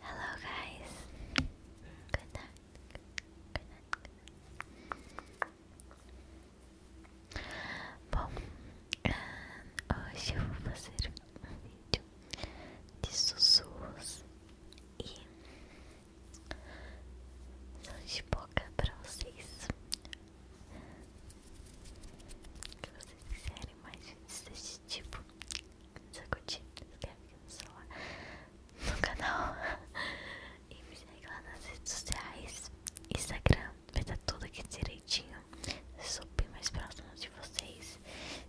Hello, guys. Good night. Good night. Good night. Bom, ah, hoje eu vou fazer um vídeo de sussurros e sons de boca pra vocês que vocês quiserem mais vídeos desse tipo só curtir, se inscreve aqui no celular no canal e me segue lá nas redes sociais Instagram, vai estar tá tudo aqui direitinho sou bem mais próximo de vocês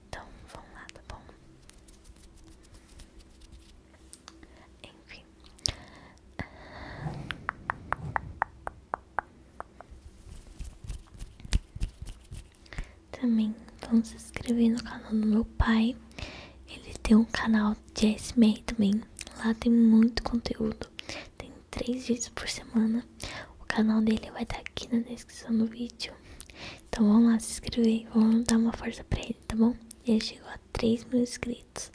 então vão lá, tá bom? enfim também vamos se inscrever no canal do meu pai. Ele tem um canal de ASMR também. Lá tem muito conteúdo. Tem três vídeos por semana. O canal dele vai estar tá aqui na descrição do vídeo. Então vamos lá se inscrever. Vamos dar uma força pra ele, tá bom? Ele chegou a 3 mil inscritos.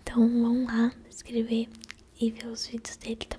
Então vamos lá se inscrever e ver os vídeos dele, tá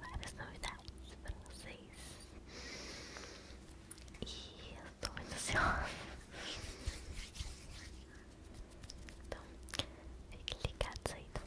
várias novidades pra vocês. E eu tô muito ansiosa. Então, fique ligado aí, Então,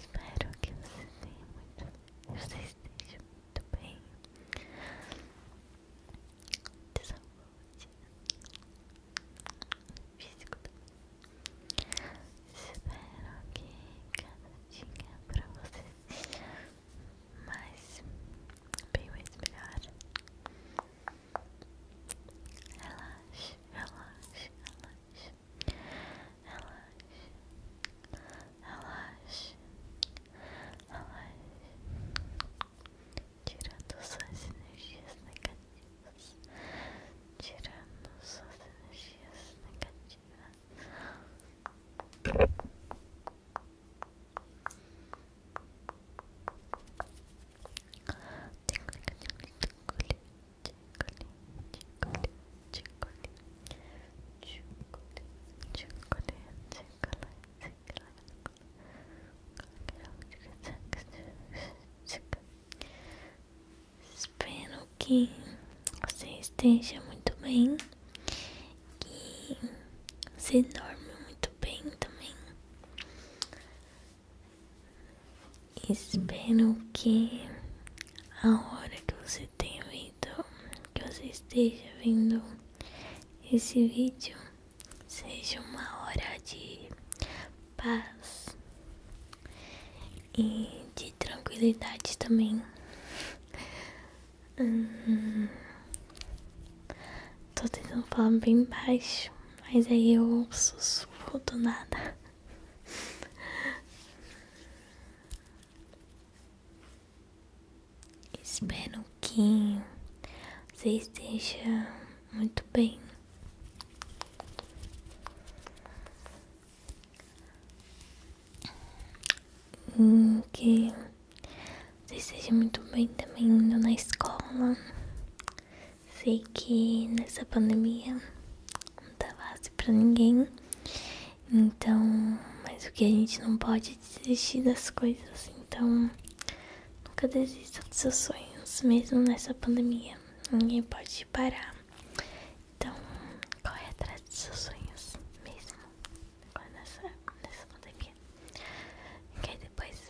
Espero que você tenha muito, esteja muito bem, de saúde, físico Espero que cada dia para você mais, bem mais melhor. Relaxe, relaxe, relaxe. Relaxe. Relaxe. Relaxe. Tirando suas energias negativas. Tirando suas energias negativas. Espero que você esteja muito bem, que você dorme muito bem também. Espero que a hora que você tenha vindo, que você esteja vendo esse vídeo, seja uma hora de paz e de tranquilidade também. Hum, tô tentando falar bem baixo, mas aí eu sussurro do nada. Espero que você esteja muito bem. que você esteja muito bem também indo na escola. Sei que nessa pandemia não dá tá fácil pra ninguém. Então, mas o que a gente não pode é desistir das coisas. Então, nunca desista dos seus sonhos, mesmo nessa pandemia. Ninguém pode parar. Então, corre atrás dos seus sonhos, mesmo nessa, nessa pandemia. Que depois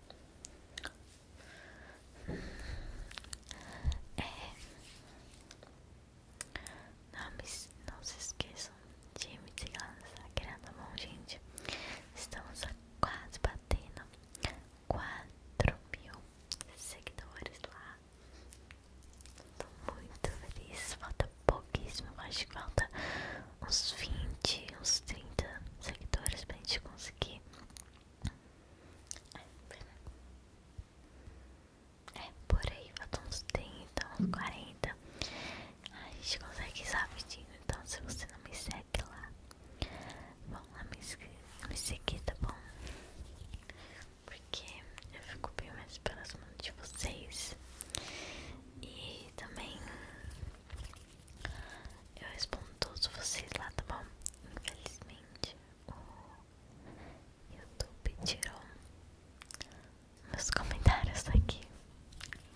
É. Não, não se esqueçam de me seguir lá no Instagram, tá bom, gente? Estamos a quase batendo 4 mil seguidores lá. Tô muito feliz. Falta pouquíssimo, acho que falta uns 20, uns 30 seguidores pra gente conseguir. É, por aí, faltam uns 30, uns 40. A gente consegue isso rapidinho. Então, se você não me segue lá, vão lá me, me seguir, tá bom? Porque eu fico bem mais próximo de vocês. E também eu respondo todos vocês lá, tá bom? Infelizmente, o YouTube tirou meus comentários aqui.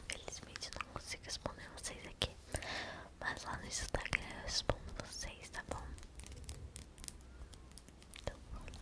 Infelizmente, não consigo responder vocês aqui. Mas lá no Instagram eu respondo vocês, tá bom? Então, vamos lá.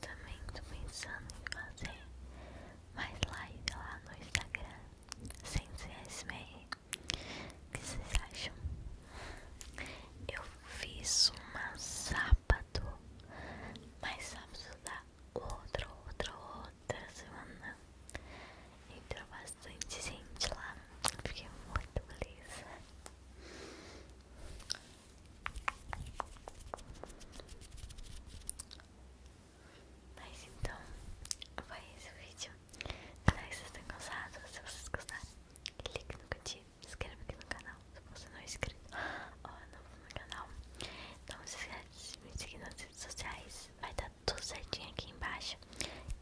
Também tô pensando em fazer mais live lá no Instagram sem ser SMR. O que vocês acham? Eu fiz uma sábado, mas sabe sábado dá outro, outro, outra semana entrou bastante gente lá, fiquei muito feliz. Mas então, foi esse vídeo. Espero que vocês tenham gostado. Se vocês gostaram, clique no curtir, se inscreva aqui no canal se você não é inscrito ou ah, novo no canal. Não se esquece de me seguir nas redes sociais, vai estar do certinho aqui embaixo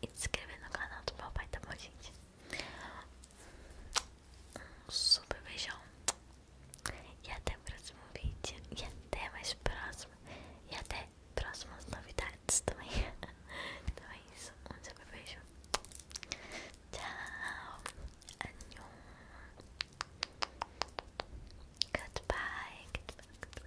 e se inscrever no canal do meu tá bom, gente? Um super beijão e até o próximo vídeo e até mais próximo e até próximas novidades também. então é um super beijo. Ciao, annyeong, goodbye, goodbye, goodbye.